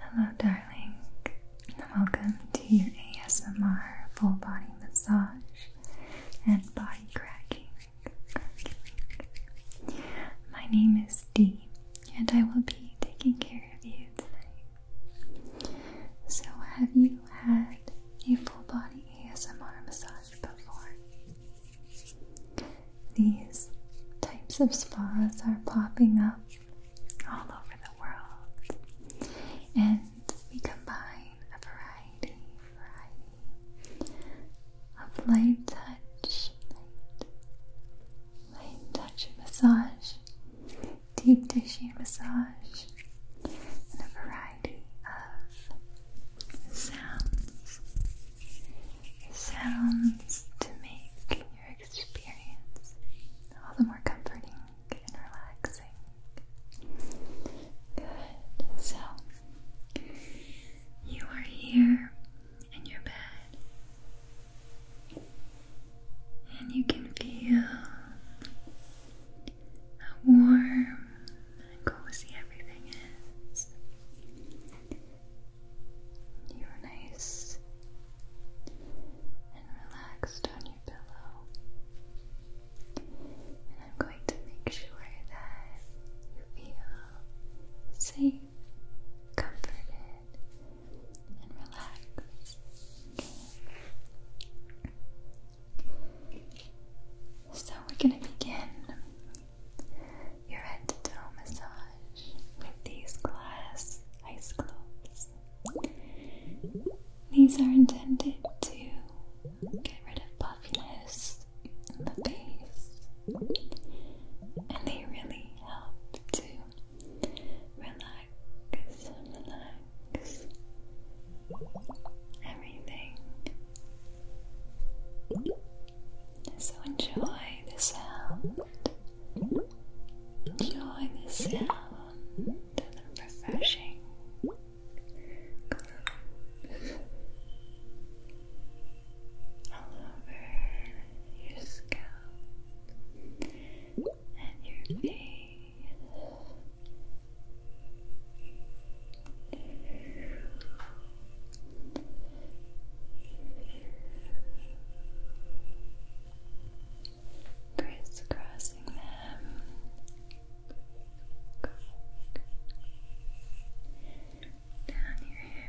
Hello, darling. Welcome to your ASMR full body massage and body cracking. My name is Dee, and I will be taking care of you tonight. So, have you had a full body ASMR massage before. These types of spas are popping up all over the world, and we combine a variety, of light touch, light, touch massage deep tissue massage, and a variety of sounds. Sounds to make your experience all the more comforting and relaxing. Good. So, you are here in your bed, and you can feel how warm and cozy everything is. You're nice and relaxed on your pillow. And I'm going to make sure that you feel safe, comforted, and relaxed. So we're going to begin your head to toe massage with these glass ice globes. These are intended to get rid of puffiness in the face, and they really help to relax, everything. So enjoy the sound. Enjoy the sound of refreshing all over your scalp and your face. Crisscrossing them. Down your hair.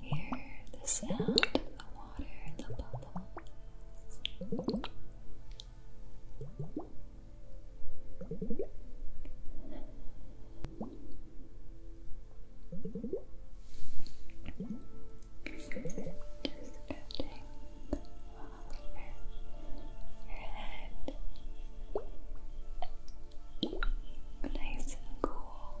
Hear the sound of the water and the bubbles. Just patting your head. Nice and cool.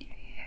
your hair.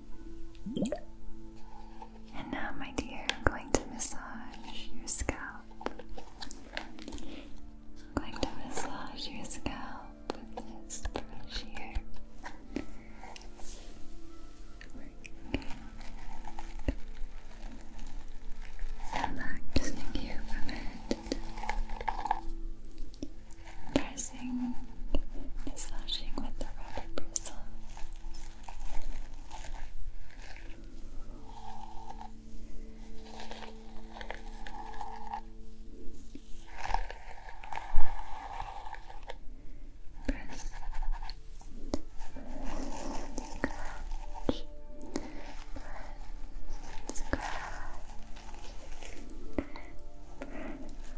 And now, my dear, I'm going to massage your scalp. going to massage your scalp with this brush here. Relaxing you from it pressing and slashing with the rubber bristle. Press. Scratch. Press. Scratch. Press.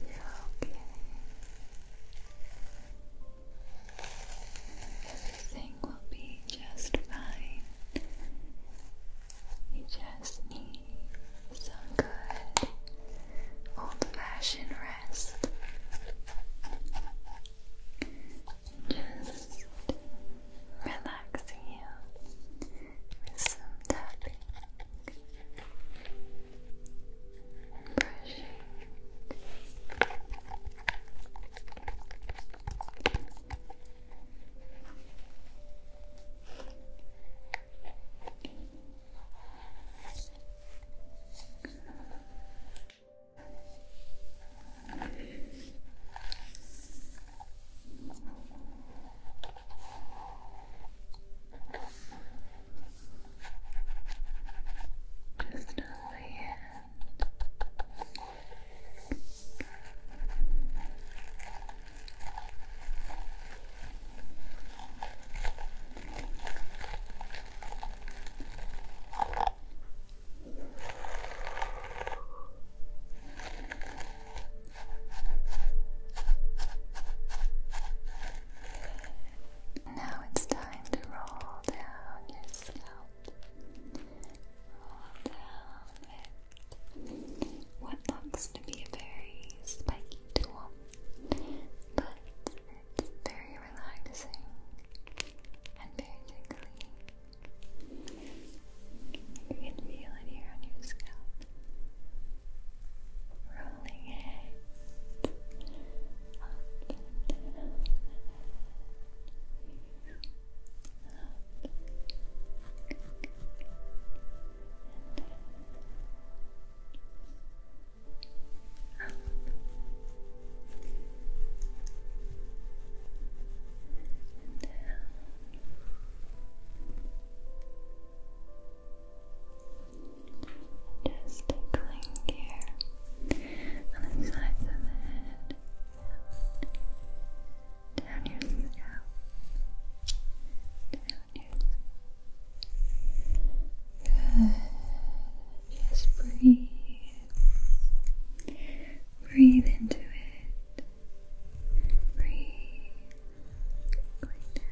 You're okay. Everything will be just fine. You just need some good old fashioned rest. Just relaxing you with some tapping, brushing. Just on my hand. Just now it's time to roll down your scalp. Roll down it. What looks to be a very spiky tool, but it's very relaxing and very tickly. You can feel it here on your scalp. Rolling it up and down. Just tickling here on the sides of the head, down your scalp, down your scalp. Good. Just breathe. Breathe into it. Breathe. Going down.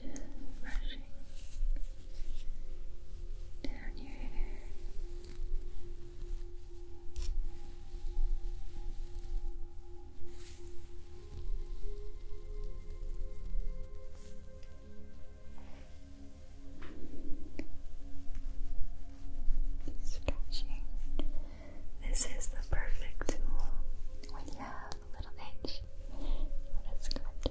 Just brushing down your hair. Stretching. This is the perfect tool when you have a little itch. What Good.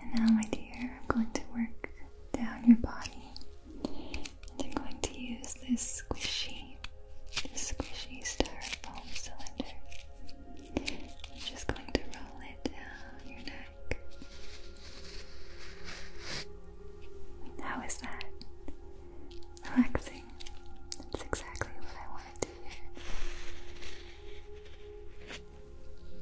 And now, my dear, I'm going to work down your body. And I'm going to use this squishy, this squishy styrofoam cylinder. I'm just going to roll it down your neck. How is that? Relaxing. That's exactly what I wanted to hear. Just down your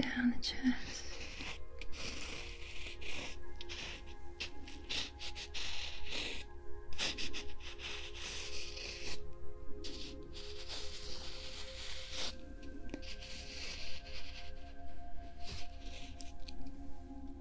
down the chest.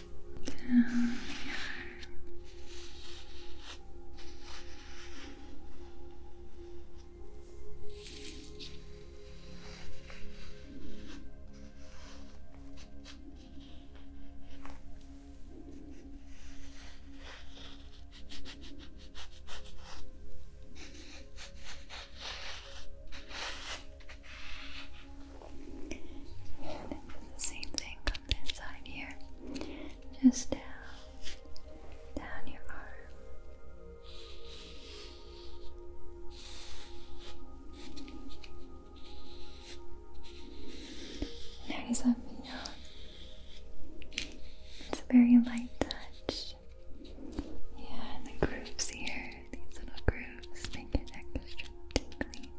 down the the same thing from this side here. Just down, down your arm. Nice up and down. It's a very light touch. Yeah, the grooves here, these little grooves, they get extra tingly,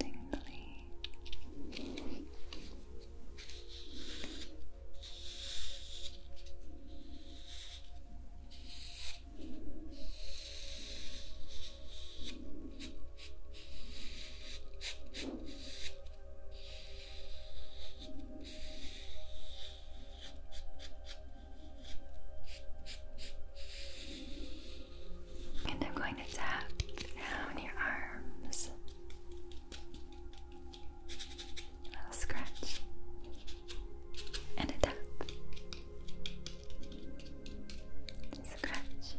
tingly. Good. And I'm going to tap down your arms. A little scratch. And a tap. Scratch.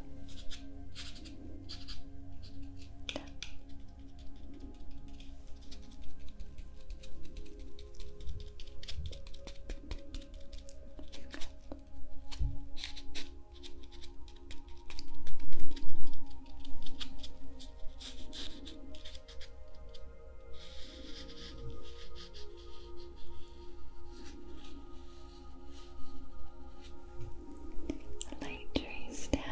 Tap. Scratch. The light trace down.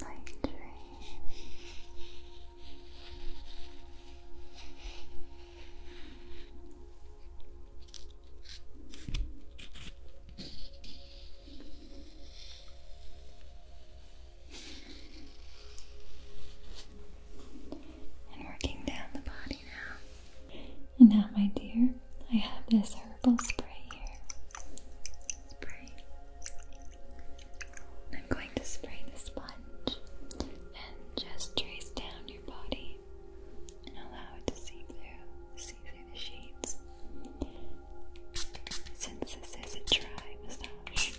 Light trace. And working down the body now. And now, my dear, I have this herbal spray here spray. I'm going to spray the sponge and just trace down your body and allow it to see through, see through the sheets. Since this is a dry massage.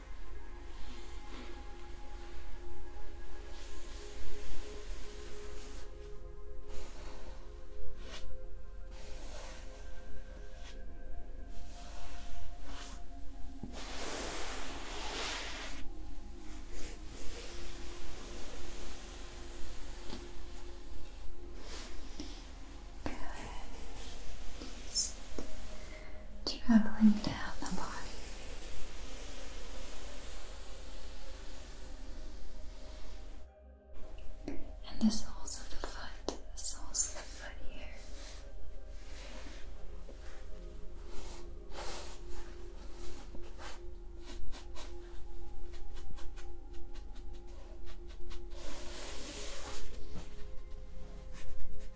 Good. Just traveling down the body. And the soles of the foot, the soles of the foot here.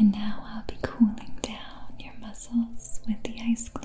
And now I'll be cooling down your muscles with the ice globes.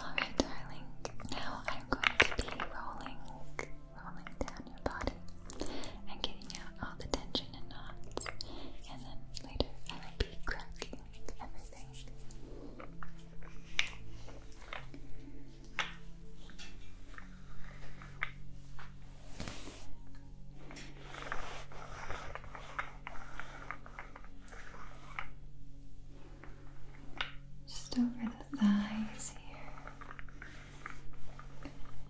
Alright, darling, now I'm going to be rolling rolling down your body and getting out all the tension and knots. And then later, I would be cracking everything. Just over the thighs here.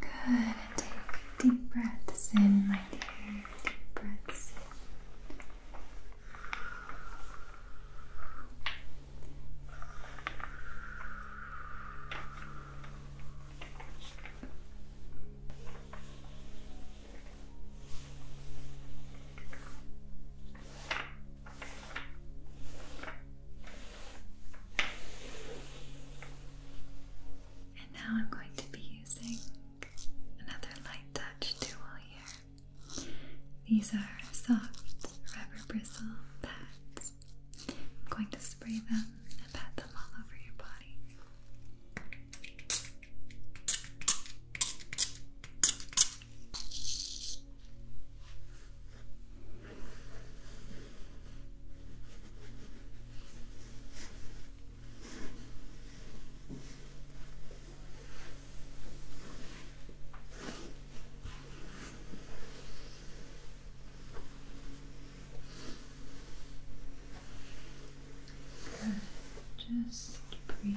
Good. take deep breaths in, my dear. Deep breaths in. And now I'm going to be using another light touch tool here. These are soft rubber bristle pads. I'm going to spray them and pat them all over your body. Good. Just breathe.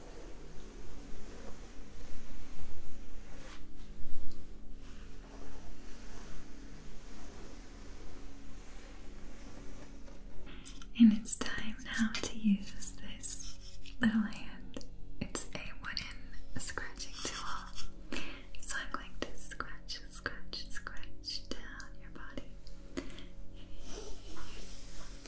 And it's time now to use this little hand. It's a wooden scratching tool. So I'm going to scratch, scratch, scratch down your body.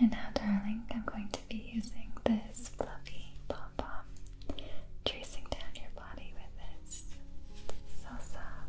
And now, darling, I'm going to be using this fluffy pom pom, tracing down your body with this. It's so soft.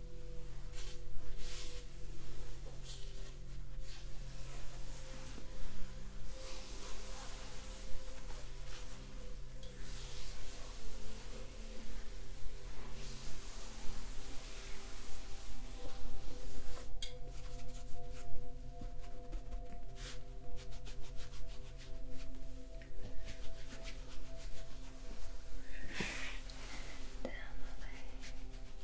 Down the leg.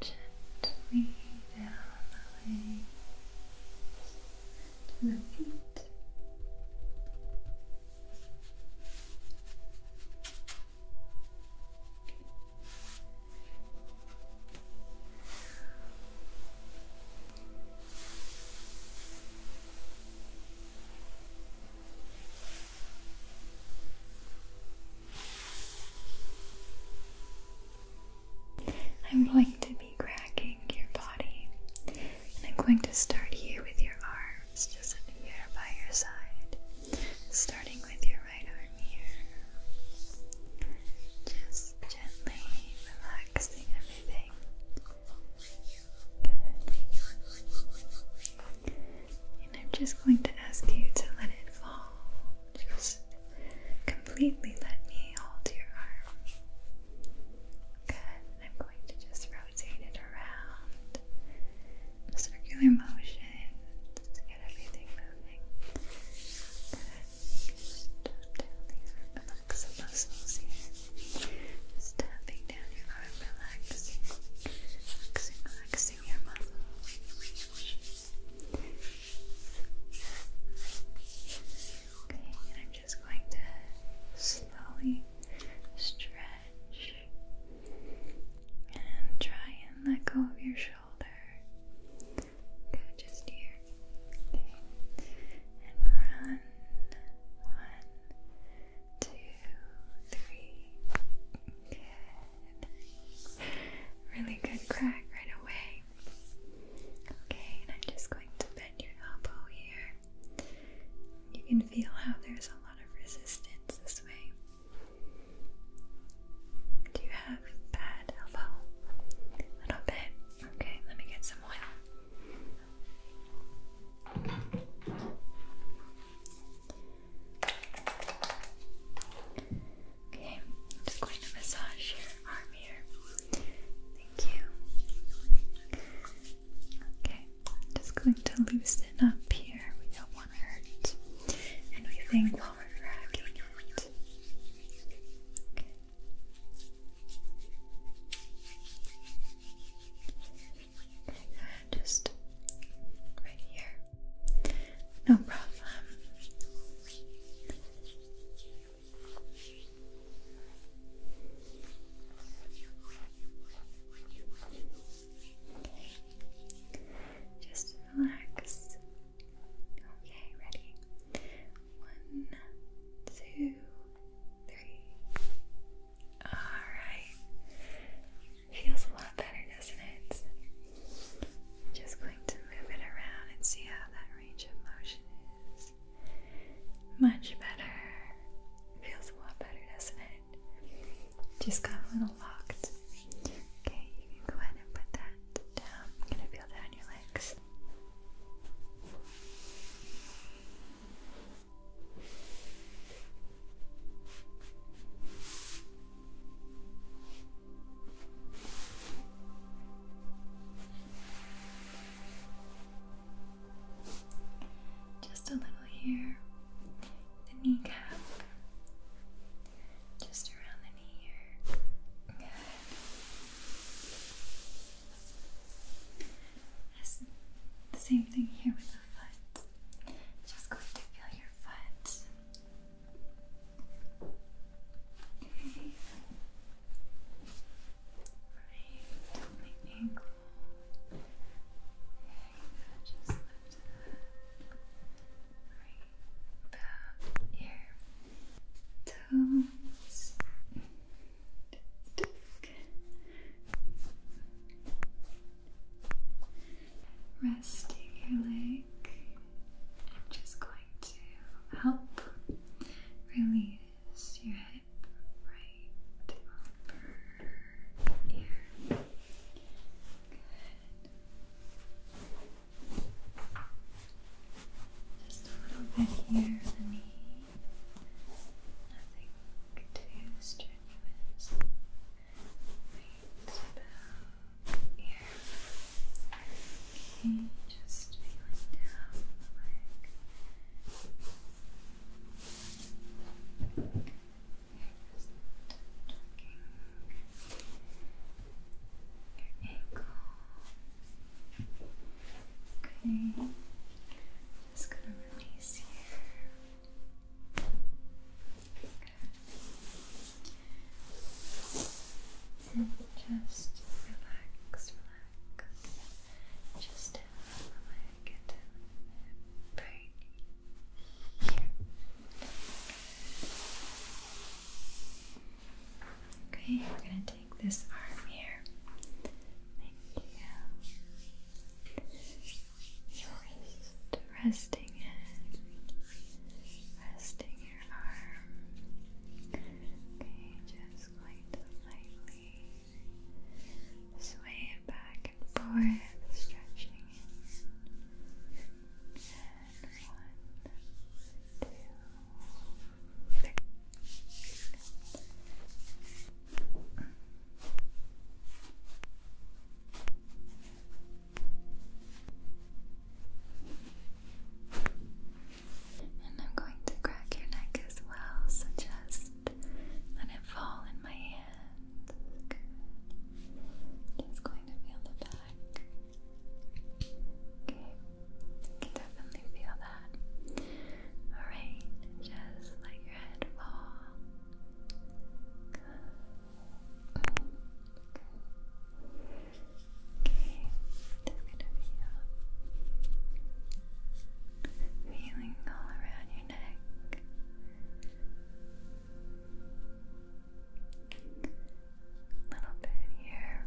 Gently down the legs to the feet. I'm going to be cracking your body and I'm going to start here with your arms, just here by your side. Starting with your right arm here. Just gently relaxing everything. Good. And I'm just going to ask you to let it fall. Just completely let me hold your arms. Good. I'm going to just rotate it around in a circular motion to get everything moving. Just tap down the arm, relax muscles here. tapping down your arm, relaxing, relaxing your muscles. Okay, and I'm just going to slowly stretch and try and let go of your shoulder. just here. And run. One, two, three. Really good crack right away. Okay, and I'm just going to bend your elbow here. You can feel how there's a do you have bad elbow? A little bit. Okay, let me get some oil. Okay, just going to massage your arm here. Thank you. Okay. Just going to loosen up here. We don't want to hurt anything while we're wrapping Okay. just right here. No problem. Just relax. Okay, ready? One, two, three. Alright. Feels a lot better, doesn't it? just going to move it around and see how that range of motion is. Much better. Feels a lot better, doesn't it? just got a little locked. Okay, you can go ahead and put that down. I'm gonna feel that on your legs. Just a little here. The kneecap. Just around the knee here. Good. the same thing here with the foot. Just going to feel your foot. Okay. Right. do Good, just lift it Right about here. Toes. Resting your leg. i just going to help release your hip right over ear. Good. Just a little bit here, the knee. Nothing too strenuous. Right about here. Okay, just feeling down the leg. Your ankle. Okay. Just gonna release here. And just relax, relax. Just down the Okay, we're gonna take this arm here. Thank you. Your wrist, resting it, resting your arm. Okay, just going to lightly Sway it back and forth, stretching one, two, three. And I'm going to crack your neck as well, so just let it fall in my hand. Good. Just going to feel the back. Okay, you can definitely feel that. Alright, just let your head fall. Okay, just gonna feel uh, feeling all around your neck little bit here.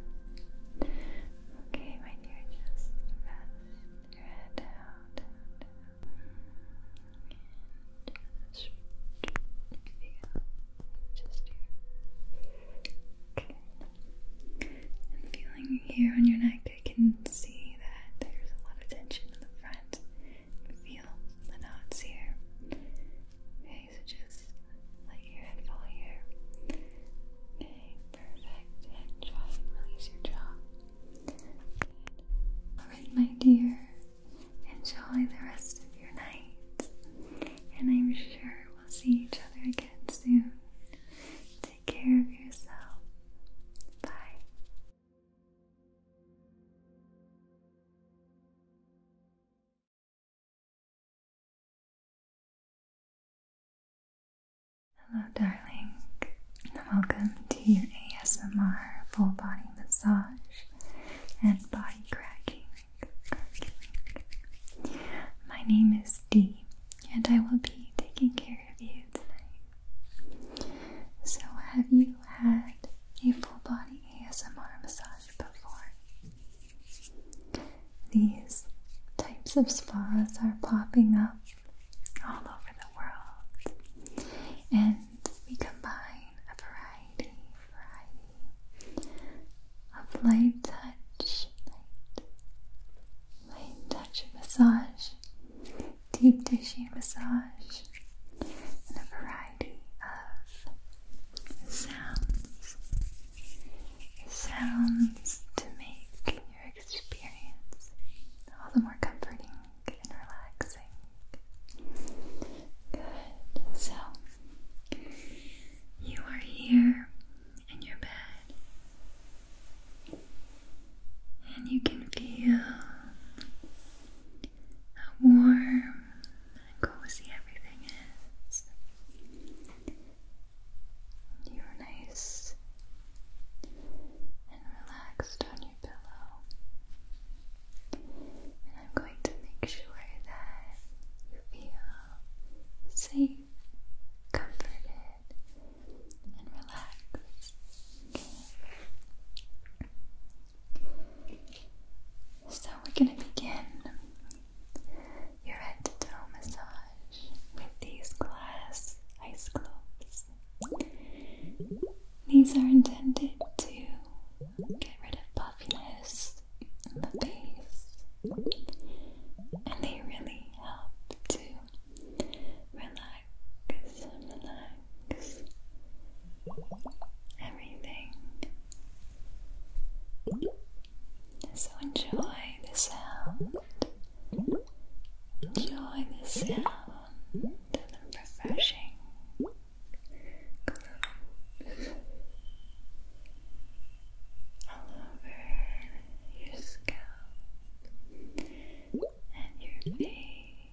Okay, my dear, just your head down, And just here. Okay. And feeling here on your neck, I can see that there's a lot of tension in the front feel the knots here. Okay, so just let your head fall here. perfect. try release your jaw. Alright, my dear. Enjoy the rest of your night. And I'm sure we'll see each other again soon. Take care of yourself. Bye. Hello, darling. Welcome to your ASMR full body massage and body cracking. cracking. My name is Dee, and I will be taking care of you tonight. So, have you had a full body ASMR massage before? These types of spas are popping up all over the world, and we combine a variety, variety of light touch, light, light touch massage deep tissue massage, and a variety of sounds. Sounds to make your experience all the more comforting and relaxing. Good. So, you are here in your bed. And you can feel how warm and cozy everything is. You're nice and relaxed on your pillow, and I'm going to make sure that you feel safe, comforted, and relaxed. So we're going to begin your head to toe massage with these glass ice globes. These are intended to get rid of puffiness in the face, and they really help to relax relax, relax everything. So enjoy the sound. Enjoy the sound the refreshing glue all over your scalp and your face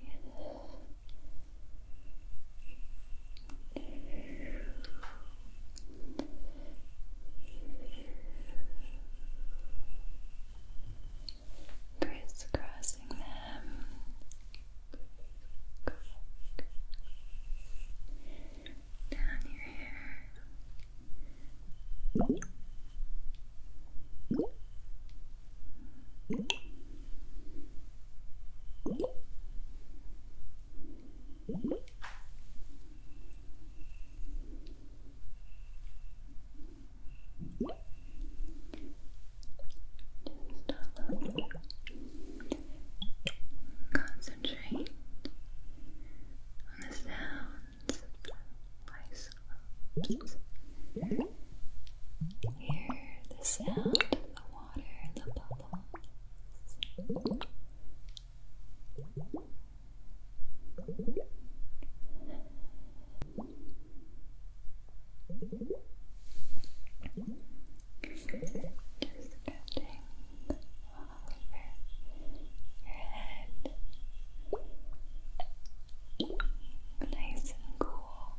crisscrossing them. Down your hair. Concentrate on the sounds of Oops. Hear the sound of the water and the bubbles. Just touching all over your head. Nice and cool.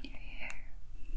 your hair. Good.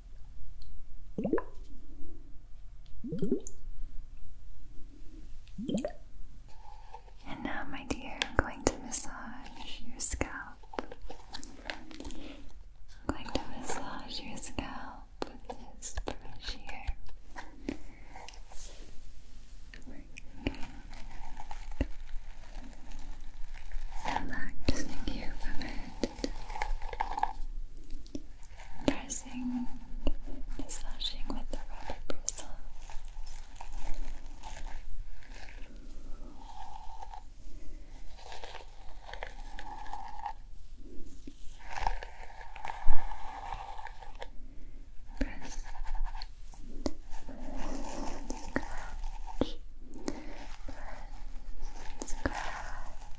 And now, my dear, I'm going to massage your scalp. I'm going to massage your scalp with this brush here. Relaxing you from it pressing, massaging with the rubber bristle. Press, scratch, press, scratch.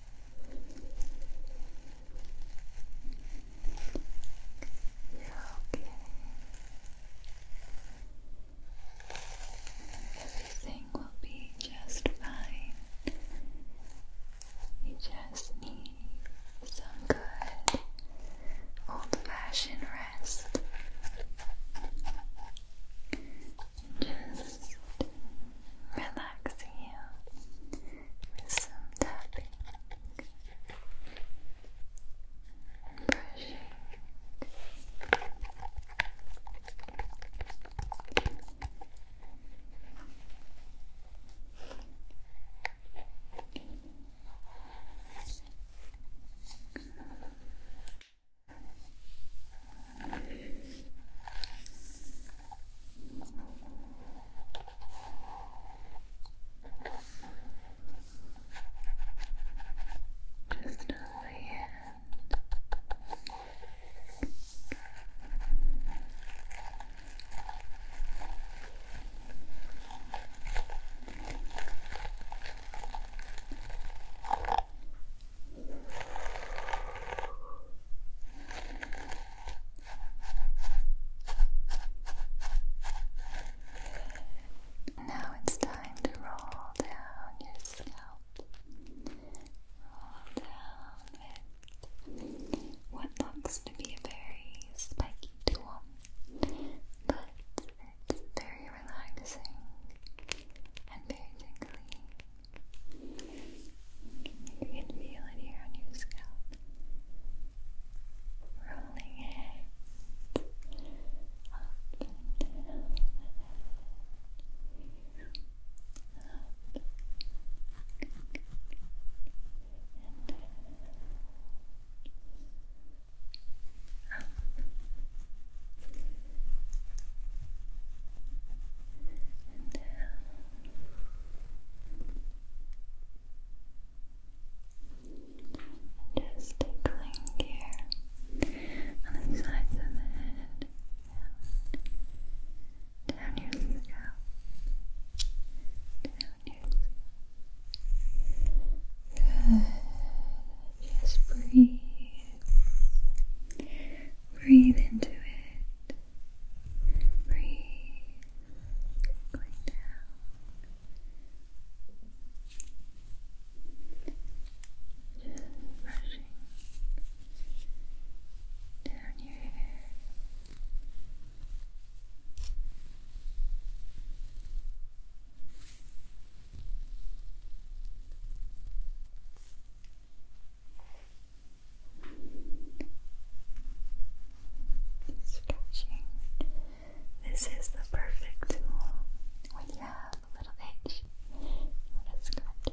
you okay. Everything will be just fine. You just need some good old fashioned rest just relaxing you with some tapping, brushing. Just over here. Just now it's time to roll down your scalp. Roll down with what looks to be a very spiky tool, but it's very relaxing and very tingly. You can feel it here on your scalp. Rolling it up and down just tickling here on the sides of the head, down, your scalp, down your Just breathe. Breathe into it. Breathe. Going down. Just brushing down your hair. Stretching. This is the perfect tool when you have a little itch. You want to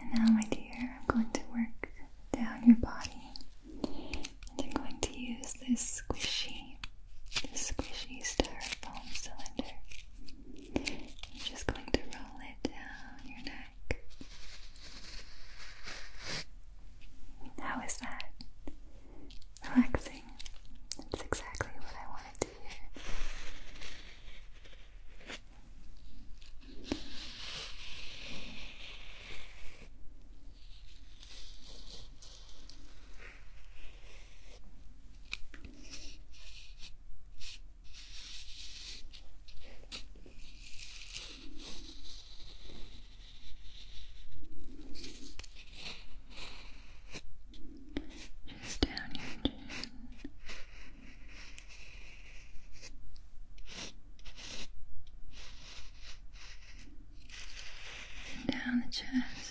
And now, my dear, I'm going to work down your body. And I'm going to use this squishy, this squishy star foam cylinder. I'm just going to roll it down your neck. How is that? Relaxing. That's exactly what I wanted to hear. Just down your chin. Down the chest.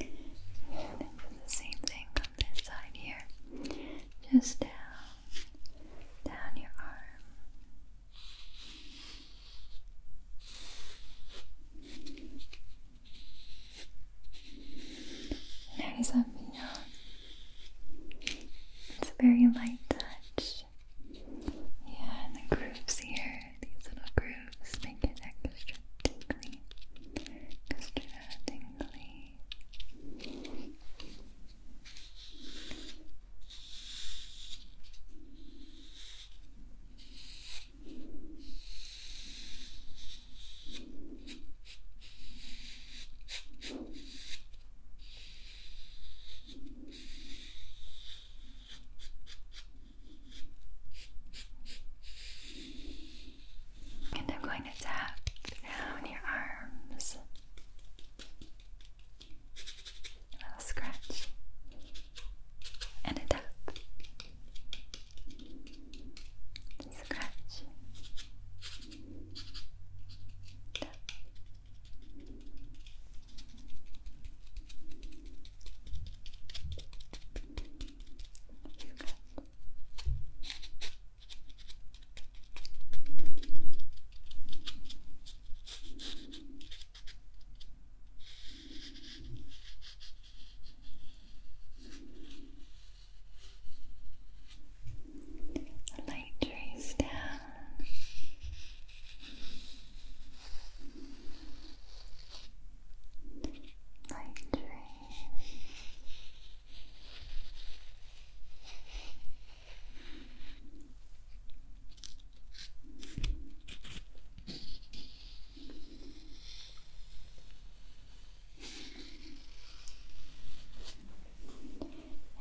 And the same thing on this side here. Just down, down your arm. How does that It's a very light touch. Yeah, and the grooves here these little grooves make it extra tingly. Extra tingly. And I'm going to tap down your arms. A little scratch and a tap. Scratch. Tap you the light trace down. Night dreams.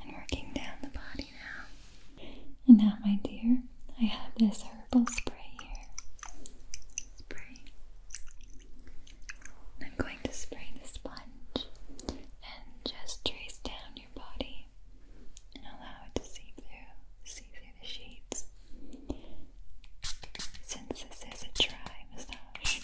And working down the body now. And now, my dear, I have this herbal spray here spray. I'm going to spray the sponge and just trace down your body and allow it to seep through, see through the sheets. Since this is a dry massage.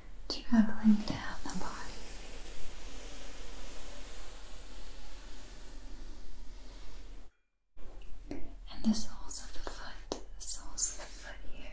traveling down the body. And the soles of the foot, the soles of the foot here.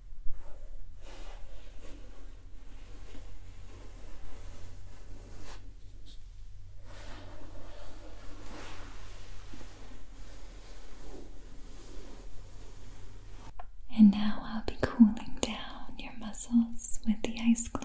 And now I'll be cooling down your muscles with the ice globes.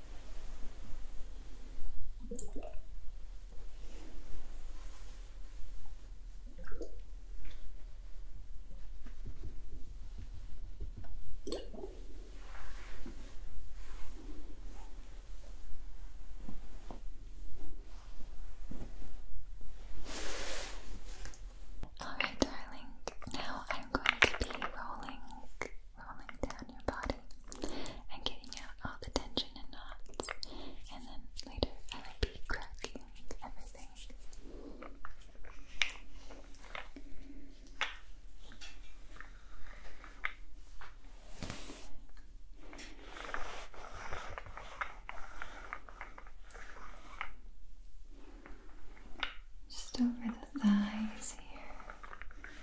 Alright, darling, now I'm going to be rolling rolling down your body and getting out all the tension and knots. And then later I will be cracking everything. Just over the thighs here,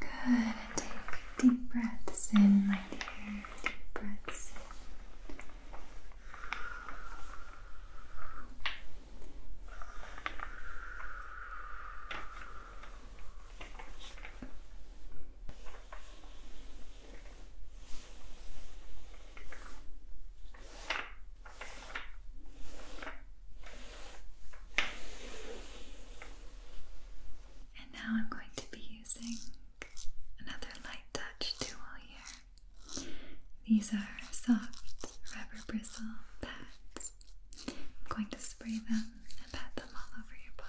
Good. take deep breaths in, my dear. Deep breaths in. And now I'm going to be using another light touch tool here. These are soft rubber bristle pads. I'm going to spray them and pat them all over your body.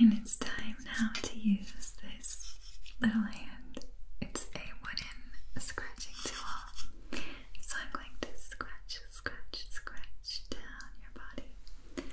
And it's time now to use this little hand. It's a wooden scratching tool. So I'm going to scratch, scratch, scratch down your body.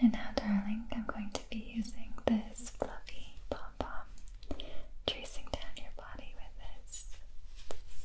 And now, darling, I'm going to be using this fluffy pom pom, tracing down your body with this. It's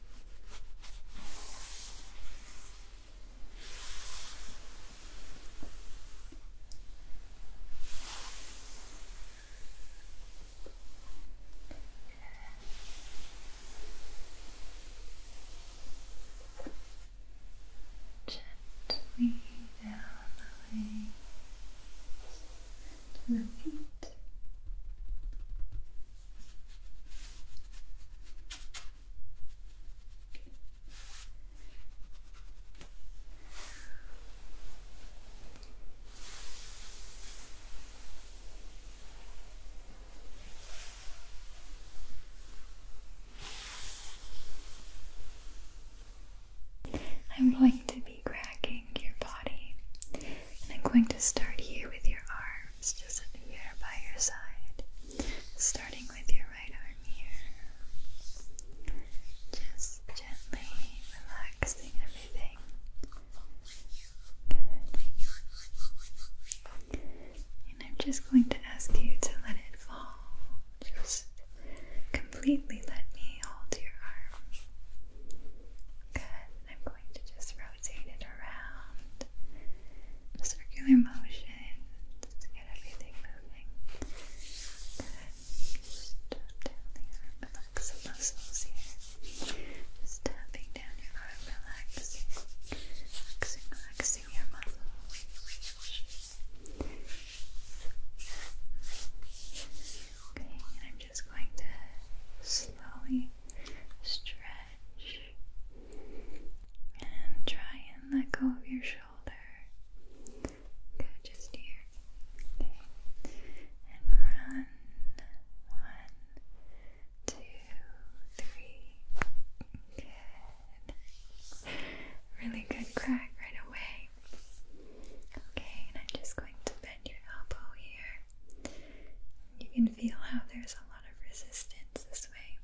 Gently down the legs to the feet. I'm going to be cracking your body, and I'm going to start here with your arm arms just here by your side, starting with your right arm here. Just gently relaxing everything. And I'm just going to ask you to let it fall. Just completely let me hold your arm. Good. I'm going to just rotate it around. Circular motion. get everything moving. Just tap down the arm. Relax the muscles here. Just tapping down your arm. Relaxing. Relaxing, relaxing your muscles. Okay, and I'm just going to slowly stretch and try and let go of your shoulder. Go just here. Okay. And run. One, two, three. Really good crack right away. Okay, and I'm just going to bend your elbow here you can feel how there's a lot of resistance this way.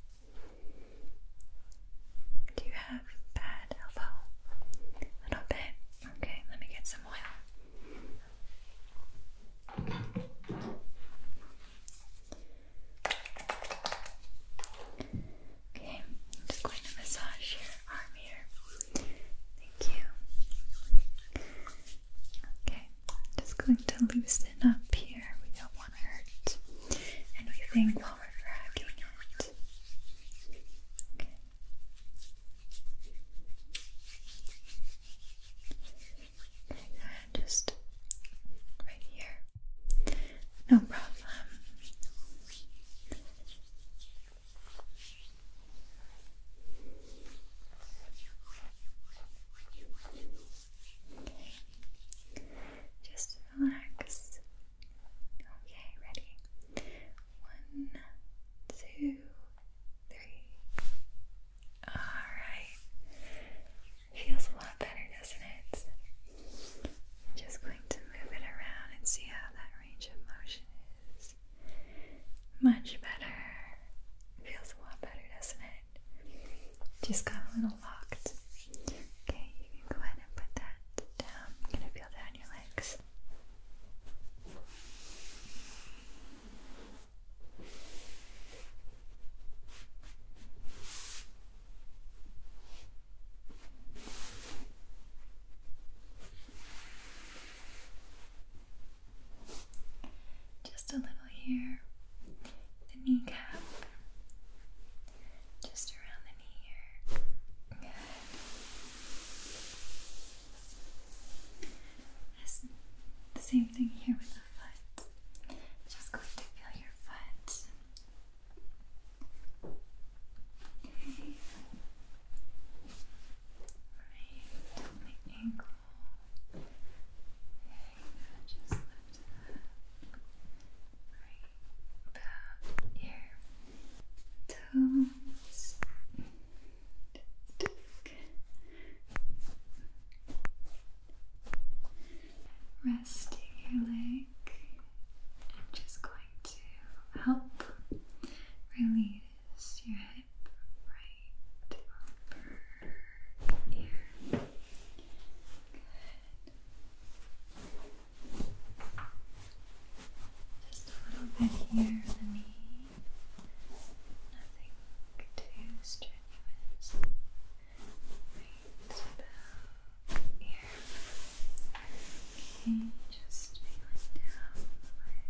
Do you have bad elbow? A little bit. Okay, let me get some oil. Okay, I'm just going to massage your arm here. Thank you. Okay, just going to loosen up here. We don't want to hurt anything while we're dragging it. Okay. just right here. No problem. Just relax. Okay, ready. One, two, three. Alright. Feels a lot better, doesn't it? just going to move it around and see how that range of motion is. Much better. Feels a lot better, doesn't it? just got a little locked. Okay, you can go ahead and put that down. I'm gonna feel that your legs. Just a little here. The kneecap. Just around the knee here. Good. The same thing here with the foot. Just going to feel your foot. Okay. Right, ankle just lift Right about your toes. Resting your leg. I'm just going to help release your head. Just a little bit here the knee. Nothing too strenuous. Right about here. Okay, just feeling the leg.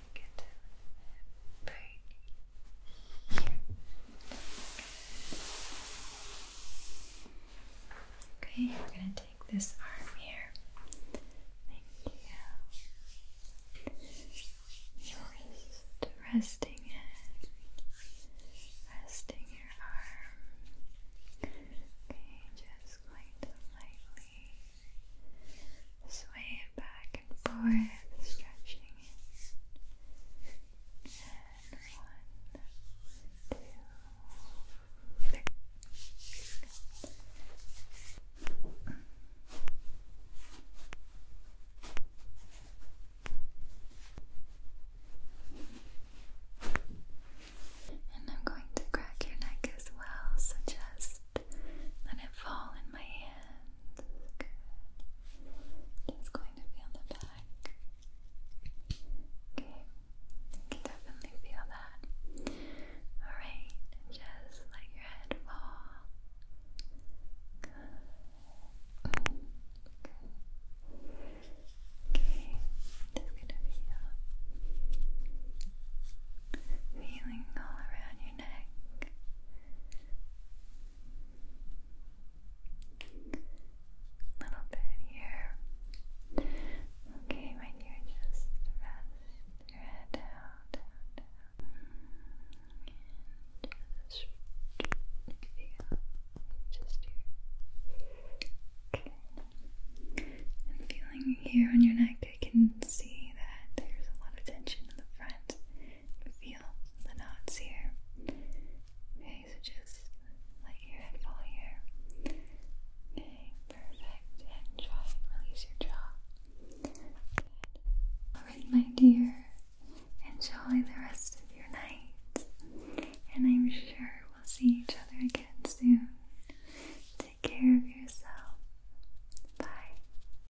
Okay, we're gonna take this arm here. Thank you. Just resting it, resting your arm. Okay, just going to lightly Sway it back and forth, stretching it. one, two, three. And I'm going to crack your neck as well, such as let it fall in my hands. Good. going to feel the back. Okay. You can definitely feel that. Alright. Just let your head fall. Good. Good. Okay. Just gonna feel uh, feeling all around your neck. Little bit here. Okay, my dear, just rest your head down, And just feel just here. Okay. And feeling here on your neck I can see that there's a lot of tension in the front. feel the knots here. Okay, so just let your head fall here. Okay, perfect. And try release your jaw. Alright, my dear. Enjoy the rest of your night. And I'm sure we'll see each other again soon. Take care of yourself. Bye.